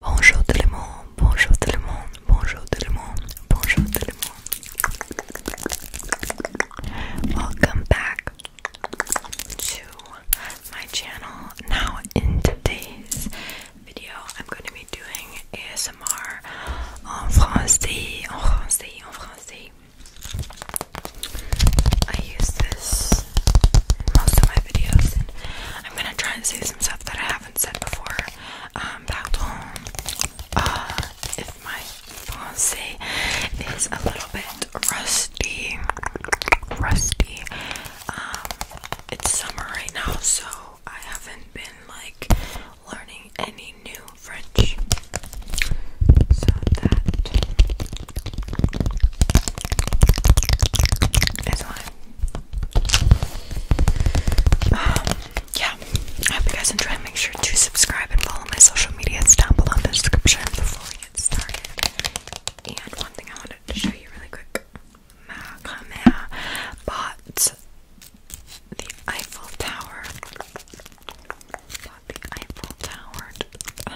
Bonjour tout le monde, bonjour tout le monde, bonjour tout le monde, bonjour tout le monde. Welcome back to my channel. Now, in today's video, I'm going to be doing ASMR en français, en français, en français. I use this most of my videos, I'm gonna try and say some stuff that I I haven't said before. Um, uh, my Francais is a little bit rusty, rusty. Um, it's summer right now, so I haven't been like learning any new French. So that is why um, yeah, I hope you guys enjoy. Make sure to subscribe and follow my social medias down below in the description before we get started. And one thing I wanted to show you really quick. Macamea Bought the Eiffel Tower.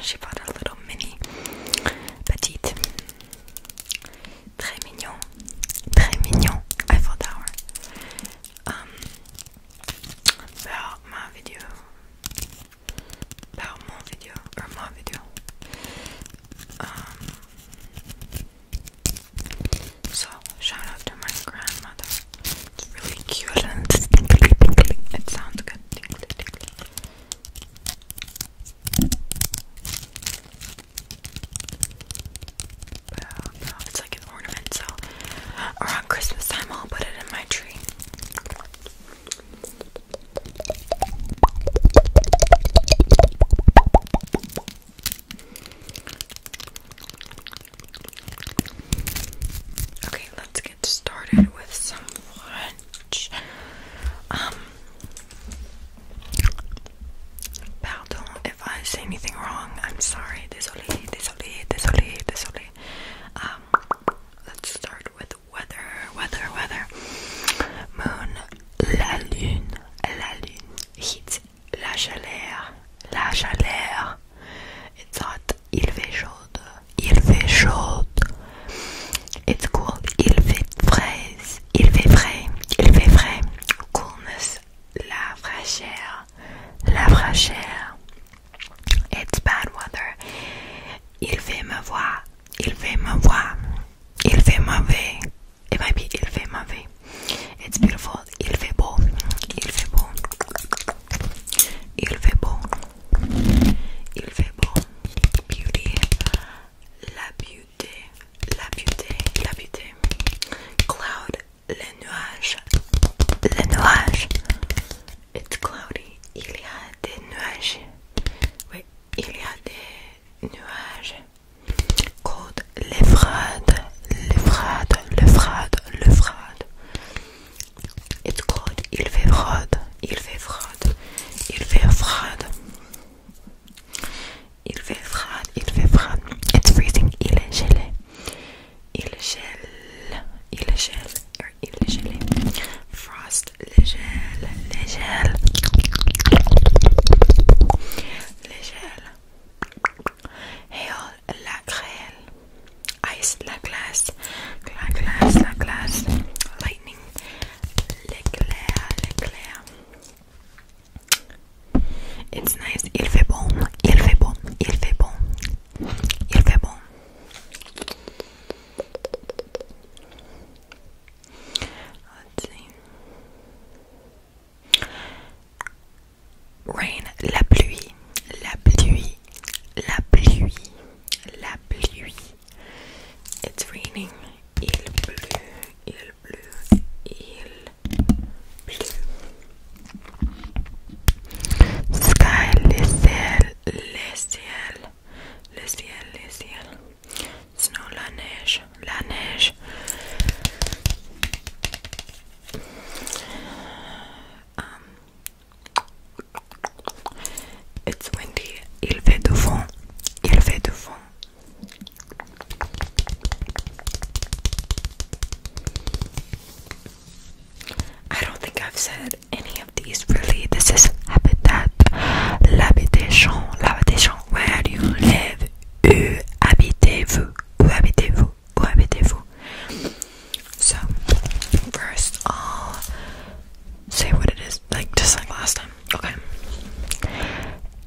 She bought a little mini petite très mignon, très mignon Eiffel Tower. Um, par ma vidéo, par mon vidéo, ou ma vidéo. Um, so shout out to my grandmother. It's really cute and it sounds good. it's like an ornament, so around Christmas time I'll put it in my tree. Okay, let's get started with some French. Um, pardon if I say anything wrong. I'm sorry. Désolé, désolé, désolé, désolé. Um, let's start with weather, weather, weather. Moon, la lune, la lune. Heat, la chaleur, la chaleur. It's hot. Il fait chaud. Il fait chaud. It's called Il fait frais, il fait frais, il fait frais, coolness, la fraîcheur, la fraîcheur. It's bad weather. Il fait me voir, il fait me voir, il fait mauvais. It might be il fait mauvais. It's beautiful. Il fait beau, il fait beau, il fait beau, il fait beau. Beauty, la beauty. la beauté, la beauté. Cloud, les nuages, les nuages. It's cloudy. Il y a des nuages. Oui, il y a des nuages. Cold, les frades, les frades, les frades, les frades. It's cold. Il fait froid, il fait froid, il fait froid. il fait froid, il fait froid. It's freezing, il est gelé. Il gèle, il gèle, or er, il gelé. Frost, le gel, le gel. Le gel. Hail, la grêle. Ice, la glace. La glace, la glace. Lightning, l'éclair, l'éclair. It's nice. Il fait bon. Il fait bon. Il fait bon. Il fait bon. Rain, la pluie, la pluie, la pluie, la pluie, It's raining. Il bleu, il bleu, il bleu. Sky, le ciel, le ciel, le ciel, le ciel. Snow, la neige, la neige. Um, it's windy. Il fait du vent. Il fait du vent. I don't think I've said any of these really. This is habitat, l'habitation, l'habitation, where you live, où habitez-vous, où habitez-vous, où habitez-vous. So, first I'll say what it is like just like last time. Okay.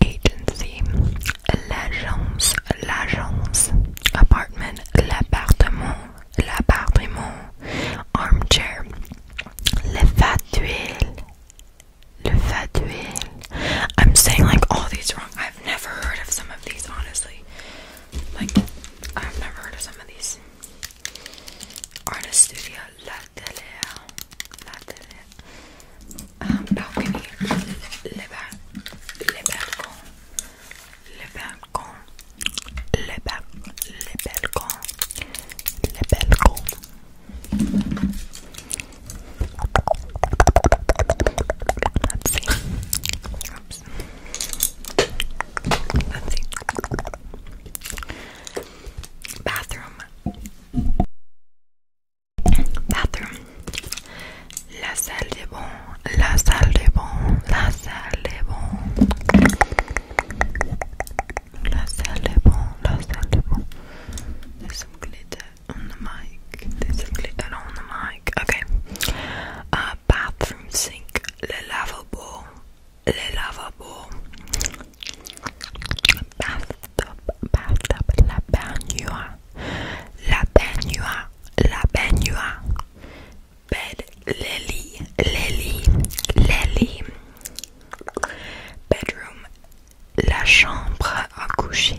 Agency, l'agence, l'agence. Apartment, l'appartement, l'appartement. Armchair, le fatuel, le fatuel. I'm saying like all these wrong. I've never heard of some of these, honestly. Like I've never heard of some of these. Artist studio, delle, la delle um, balcony le, ba le balcon le balcon le, ba le balcon le balcon let's see oops let's see bathroom bathroom la salle de bon la salle de bon la salle de bon la salle de bon la salle de bon there's some glitter on the mic there's some glitter on the mic okay uh, bathroom sink le lavabo les lavabos, la baignoire, la baignoire, la baignoire, bed, les lits, les bedroom, la chambre à coucher,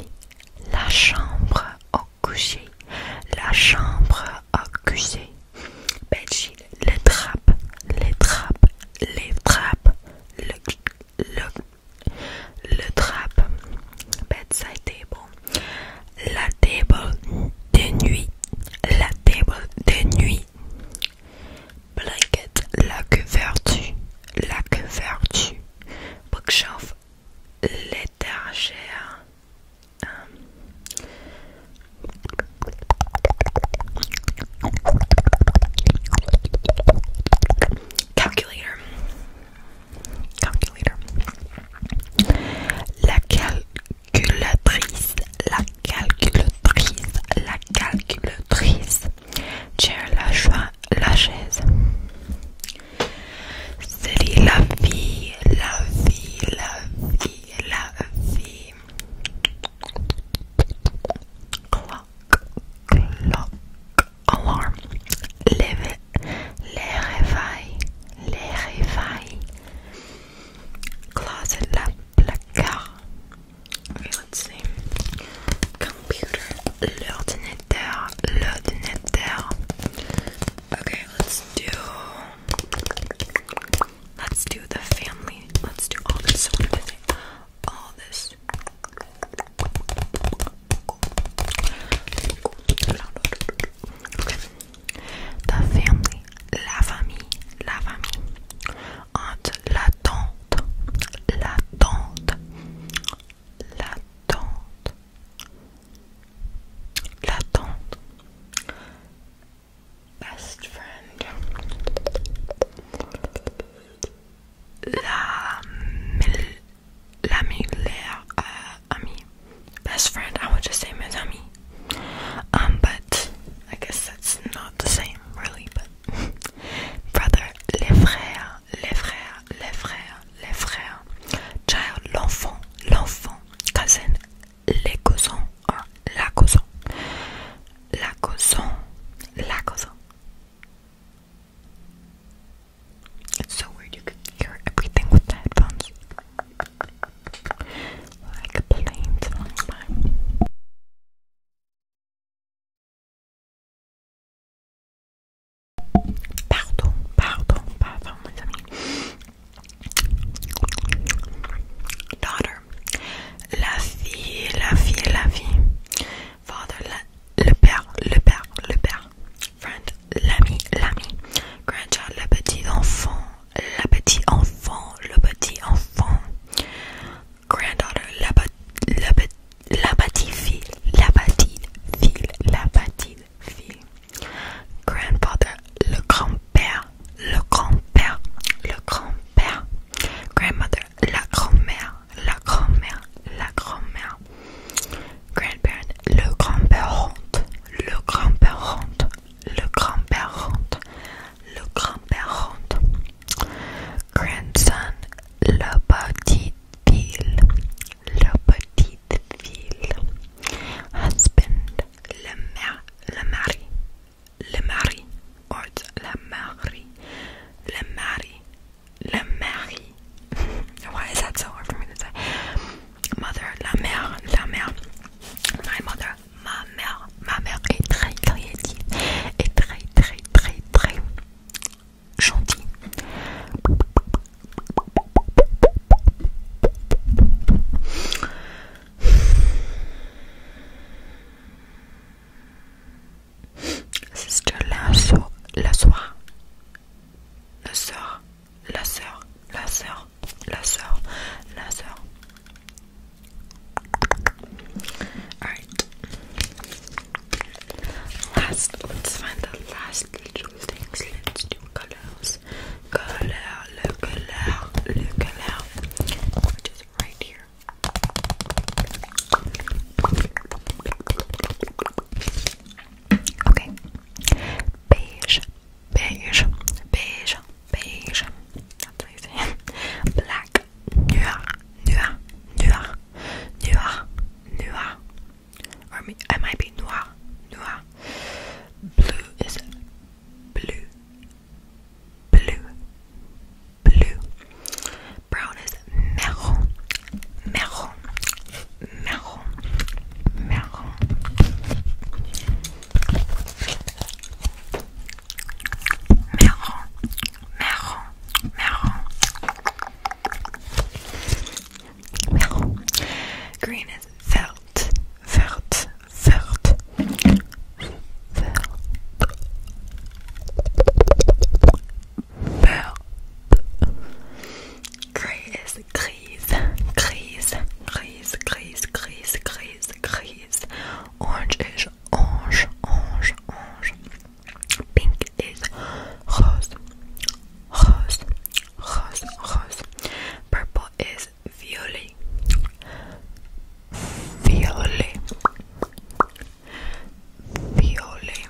la chambre au coucher, la chambre à coucher, les trappes, les trappes, les trappes, le, le, le trappe, bedside table, la table de nuit, la table de nuit, blanket, la couverture, la couverture, bookshelf, l'étagère. Calculator. Calculator. La calculatrice. La calculatrice. La calculatrice. Chair, la joie, la chaise. C'est la vie, la vie, la vie, la vie. alarm. Leve, le réveil, Closet, la placard. let's see. Computer, l'ordinateur, l'ordinateur. Okay, let's do. Let's do the family. Let's do all this. All this. The family. La famille. La famille. Aunt. La tante. La tante. La tante. La tante best friend. La, la meilleure uh, Best friend, I would just say mes amis. Um, but I guess that's not the same, really. But brother, les frères, les frères, les frères, les frères. Child, l'enfant, l'enfant. Cousin, les cousins, la Lacoson. la Lacoson. It's so weird you can hear everything with the headphones. Like a plane flying Pardon, pardon, pardon, mes amis. Daughter, la fille, la fille, la fille, father, le père, le père, le père, friend, l'ami, l'ami, grandchild, le petit enfant, la petit enfant, le petit enfant, granddaughter, la, la, la petite fille, la petite fille, la petite fille, grand grandfather, le grand-père, père, le grand-père, le grand-père, grandmother, la grand-mère, la grand-mère, la grand-mère, grandparent, le grand-père le grand-père le grand-père honte, le grand-père honte, grandson, le petit ville, la petite fille, husband, le mère, le mari, le mari or it's la mari le mari le mari why is that so hard for me to say mother la mère la mère my mother ma mère ma mère est très créative et très très très très gentille Sister la soeur, la soeur, la soeur, la soeur, la Alright. Last, let's find the last little things. Let's do colors. Color, le color, le color. Which is right here. Okay. Beige, beige, beige, beige. That's what you say. Black. Noir, noir, noir, noir, noir. Or I might be noir, noir. Blue is blue, blue, blue. Brown is marron, marron, marron, marron. Marron, marron, marron. Marron. Green is vert, vert, Vert. Vert. Vert. Grise, grise, grise, grise, grise, grise, grise, grise. Orange is orange, orange, orange. Pink is rose, rose, rose, rose. Purple is is Violi. Violi. Violi.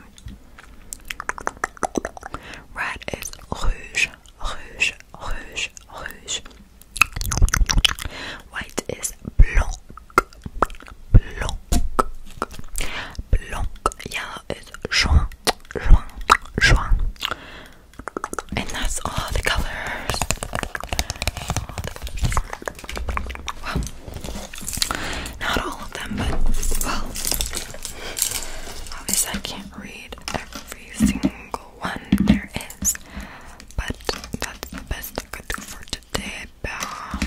Red is rouge, rouge, rouge, rouge. White is blanc, blanc, blanc. Yellow is jaune, jaune, jaune. And that's all the colors. Well, not all of them, but well, obviously I can't read every single one there is, but that's the best I could do for today. Bah.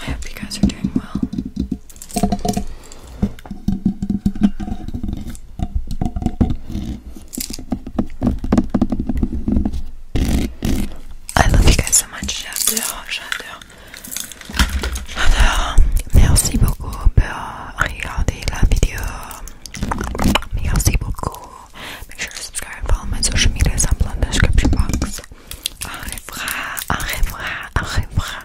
I hope you guys are doing well. I love you guys so much. J'adore, j'adore. J'adore. Merci beaucoup pour regarder la vidéo. Merci beaucoup. Make sure to subscribe and follow my social media. I'm in the description box. Au revoir, au revoir, au revoir.